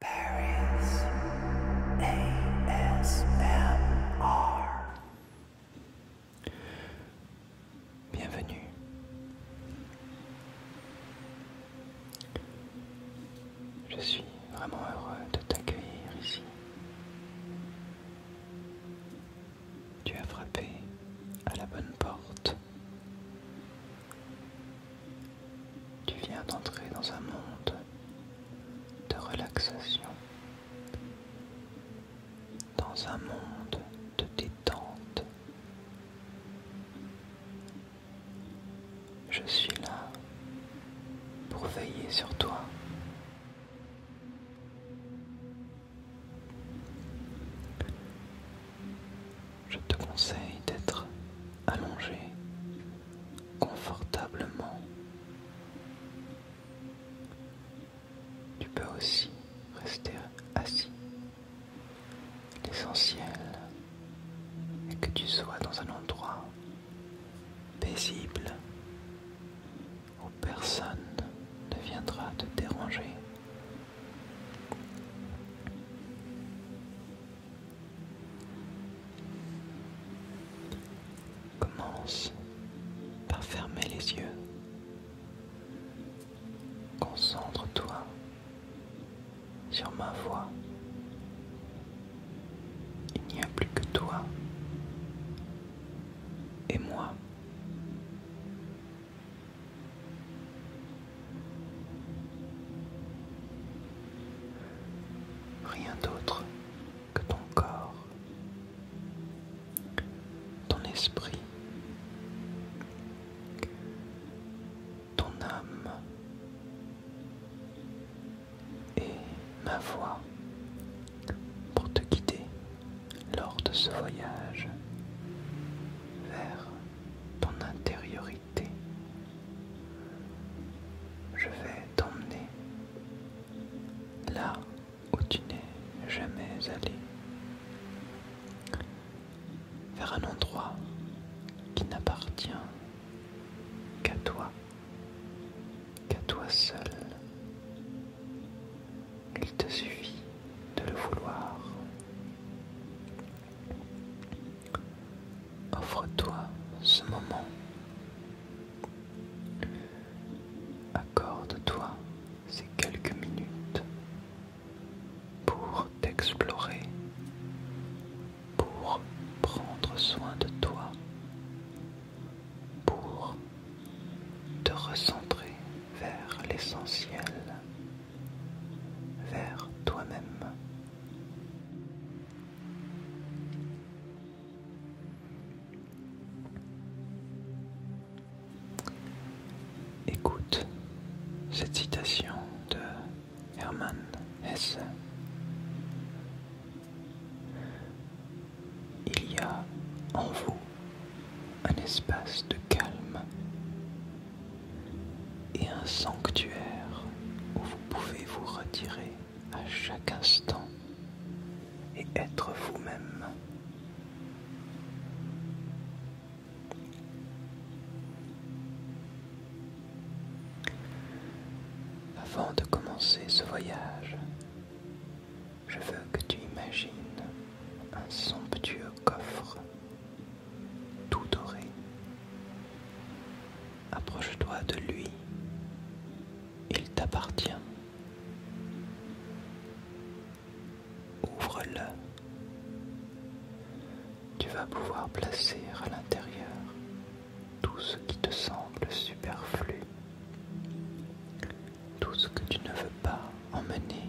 Bienvenue. Je suis vraiment heureux de t'accueillir ici. Tu as frappé à la bonne porte. Tu viens d'entrer dans un monde de relaxation, dans un monde de détente. Je suis là pour veiller sur toi je te conseille d'être allongé confortablement. Tu peux aussi rester assis. L'essentiel est que tu sois dans un endroit paisible où personne ne viendra te déranger. Commence par fermer les yeux. Concentre-toi sur ma voix. Il n'y a plus que toi et moi. Rien d'autre que ton corps, ton esprit, ton âme et ma voix pour te guider lors de ce voyage vers ton intériorité. Je vais t'emmener là où tu n'es jamais allé, vers un endroit qui n'appartient qu'à toi, qu'à toi seul. Il te suffit de le vouloir. Offre-toi ce moment. Accorde-toi ces quelques minutes pour t'explorer, pour prendre soin de toi, pour te recentrer vers l'essentiel vers toi-même. Écoute cette citation de Hermann Hesse. Il y a en vous un espace de calme et un sanctuaire où vous pouvez vous retirer à chaque instant et être vous-même. Avant de commencer ce voyage, je veux que tu imagines un somptueux coffre tout doré. Approche-toi de lui, il t'appartient. Ouvre-le. Tu vas pouvoir placer à l'intérieur tout ce qui te semble superflu, tout ce que tu ne veux pas emmener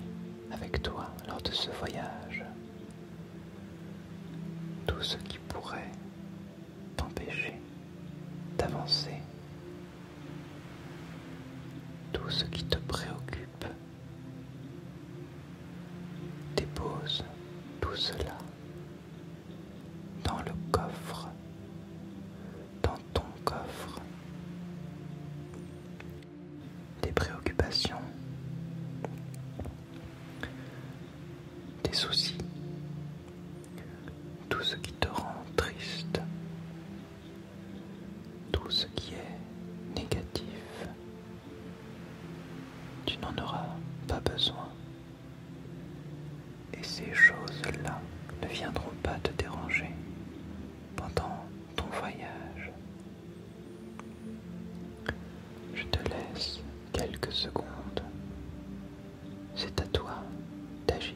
avec toi lors de ce voyage tout ce qui pourrait t'empêcher d'avancer, tout ce qui te préoccupe, dépose tout cela dans le coffre, dans ton coffre. des préoccupations, tes soucis, tout ce qui te rend triste, tout ce qui est négatif. Tu n'en auras pas besoin. Et ces choses-là ne viendront pas te déranger pendant ton voyage. Je te laisse quelques secondes. C'est à toi d'agir.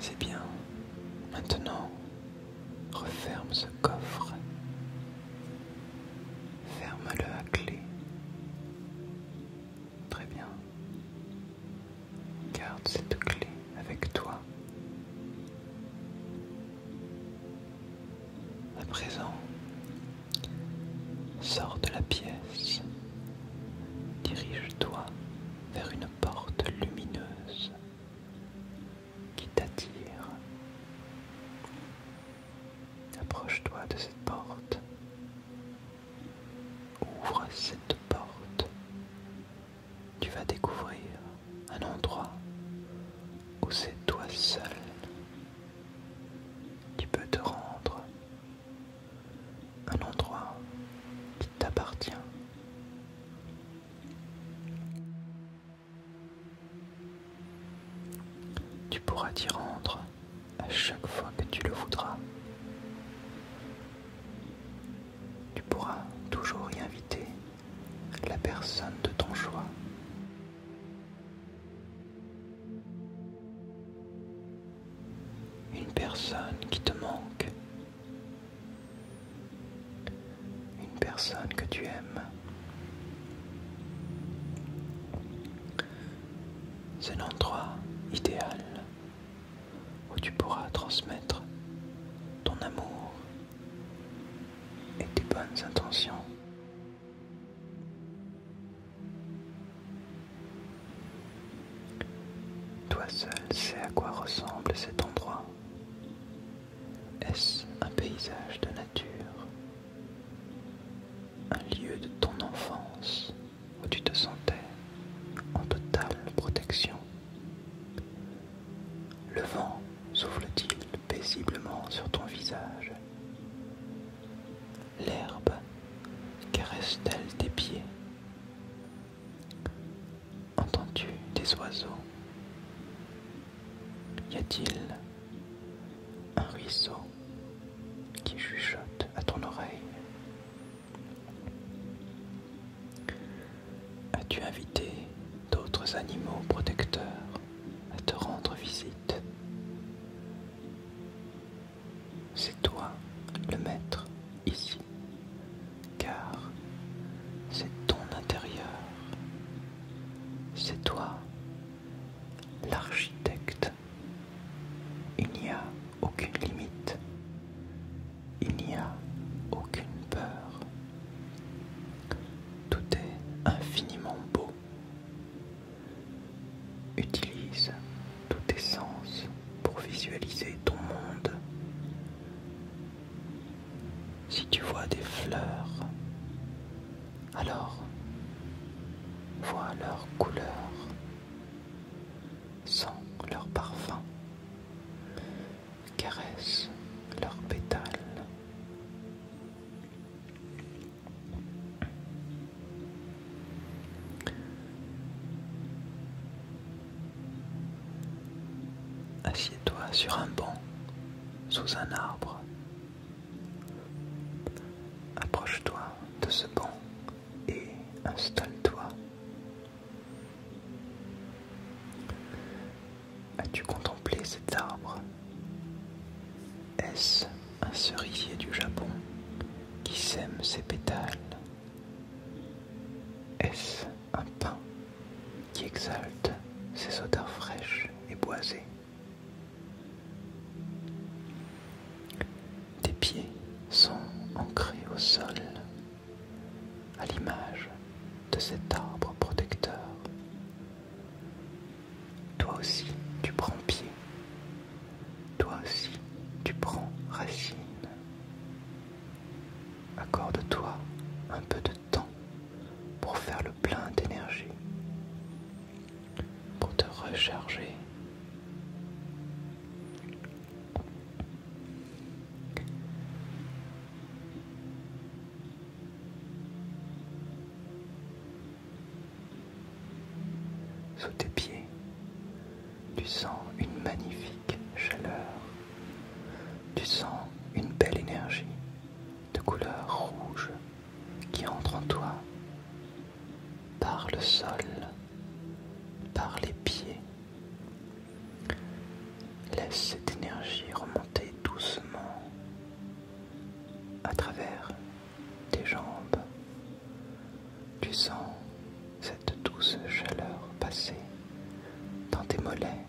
C'est bien. Maintenant, referme ce coffre. Ferme-le à clé. Très bien. Garde cette clé avec toi. À présent, sors de la pièce. Dirige-toi vers une porte lumineuse qui t'attire. Approche-toi de cette porte. Ouvre cette porte. Tu vas découvrir un endroit où c'est toi seul qui peux te rendre un endroit qui t'appartient. Tu pourras t'y rendre à chaque fois que tu le voudras. Tu pourras toujours y inviter la personne de ton choix une personne qui te manque, une personne que tu aimes. C'est l'endroit idéal où tu pourras transmettre ton amour et tes bonnes intentions. Toi seul sais à quoi ressemble cet endroit. Est-ce un paysage de nature Un lieu de ton enfance où tu te sentais en totale protection Le vent souffle-t-il paisiblement sur ton visage L'herbe caresse-t-elle tes pieds Entends-tu des oiseaux Y a-t-il un ruisseau qui chuchote à ton oreille As-tu invité d'autres animaux protecteurs à te rendre visite c'est toi le maître ici, car c'est ton intérieur, c'est toi l'architecte. Il n'y a aucune limite, il n'y a aucune peur. Tout est infiniment beau. Utilise tout tes sens pour visualiser ton monde. Si tu vois des fleurs, alors vois leurs couleur, sens leur parfum, caresse leurs pétales. Assieds-toi sur un banc, sous un arbre. Approche-toi de ce banc et installe-toi. As-tu contemplé cet arbre Est-ce un cerisier du Japon qui sème ses pétales est-ce un pain qui exalte ses odeurs fraîches et boisées Tes pieds sont ancrés au sol, à l'image de cet arbre protecteur. Toi aussi, tu prends pied toi aussi, tu prends racine. Accorde-toi un peu de temps pour faire le plein d'énergie, pour te recharger. Sous tes pieds, tu sens une magnifique chaleur. Tu sens une belle énergie de couleur rouge qui entre en toi par le sol, par les pieds. Laisse cette énergie remonter doucement à travers tes jambes, tu sens cette douce chaleur passer dans tes mollets,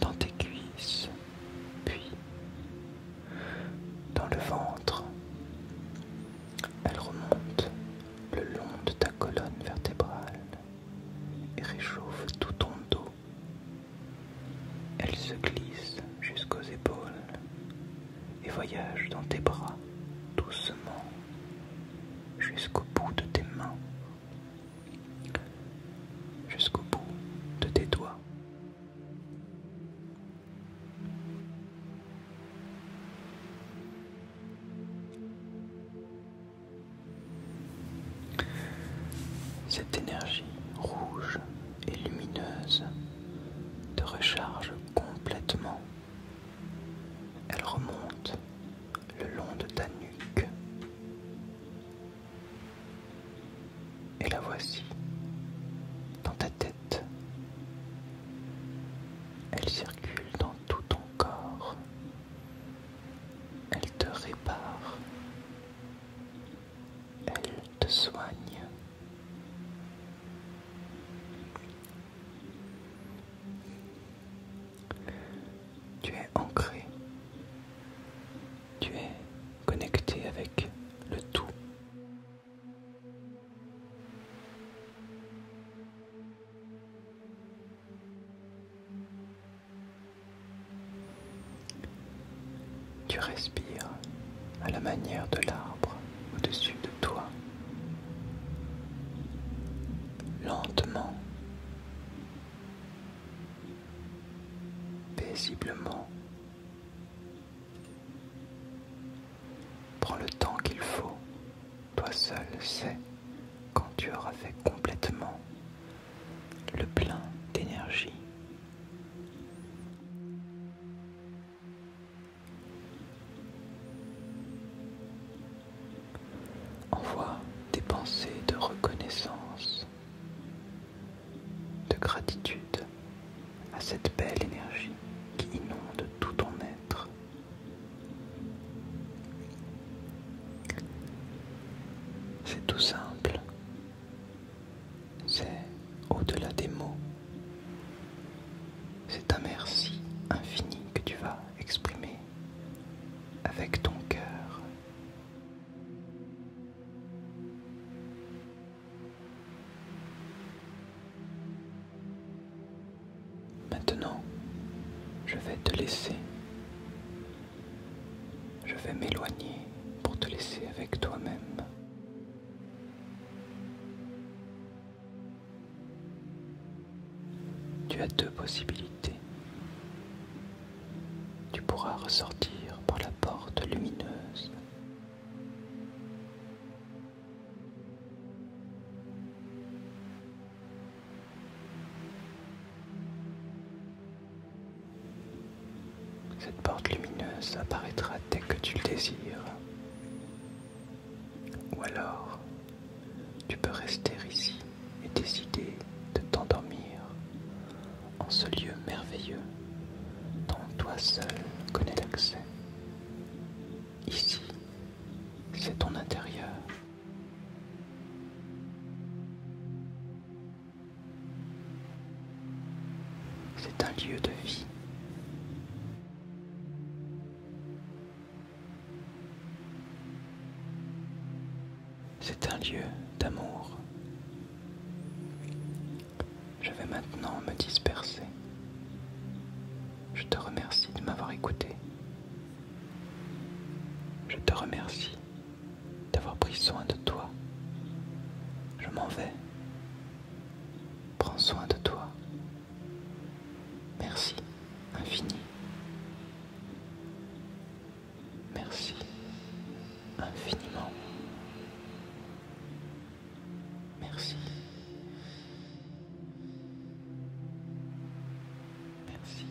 dans tes cuisses, puis dans le ventre. Elle remonte le long de ta colonne vertébrale et réchauffe tout ton dos. Elle se glisse jusqu'aux épaules et voyage dans tes bras doucement jusqu'au bout de tes mains, jusqu'au bout de tes doigts. Cette énergie rouge et lumineuse te recharge complètement. Elle remonte le long de ta nuque. Et la voici dans ta tête. Elle circule dans tout ton corps. Elle te répare. Elle te soigne. Tu es ancré. Tu es connecté avec le tout. Tu respires à la manière de l'arbre au-dessus de toi. Lentement. Paisiblement. Prends le temps qu'il faut. Toi seul sais quand tu auras fait complètement le plein d'énergie. Envoie des pensées de reconnaissance, de gratitude à cette belle énergie qui inonde tout ton être. C'est tout simple, c'est au-delà des mots. C'est un merci infini que tu vas exprimer avec ton cœur. Maintenant, je vais te laisser. Je vais m'éloigner pour te laisser avec toi-même. Tu as deux possibilités. Tu pourras ressortir par la porte lumineuse. Cette porte lumineuse apparaîtra dès que tu le désires. Ou alors, tu peux rester ici et décider de t'endormir en ce lieu merveilleux dont toi seul connais l'accès. Ici, c'est ton intérieur. C'est un lieu de vie. C'est un lieu d'amour. Je vais maintenant me disperser. Je te remercie de m'avoir écouté. Je te remercie d'avoir pris soin de toi. Je m'en vais Prends soin de toi. Merci, infini. Merci, infiniment. Merci. Merci. Merci.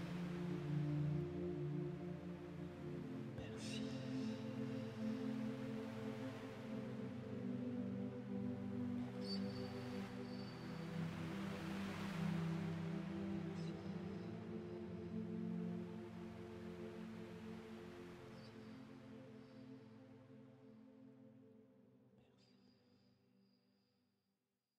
Merci.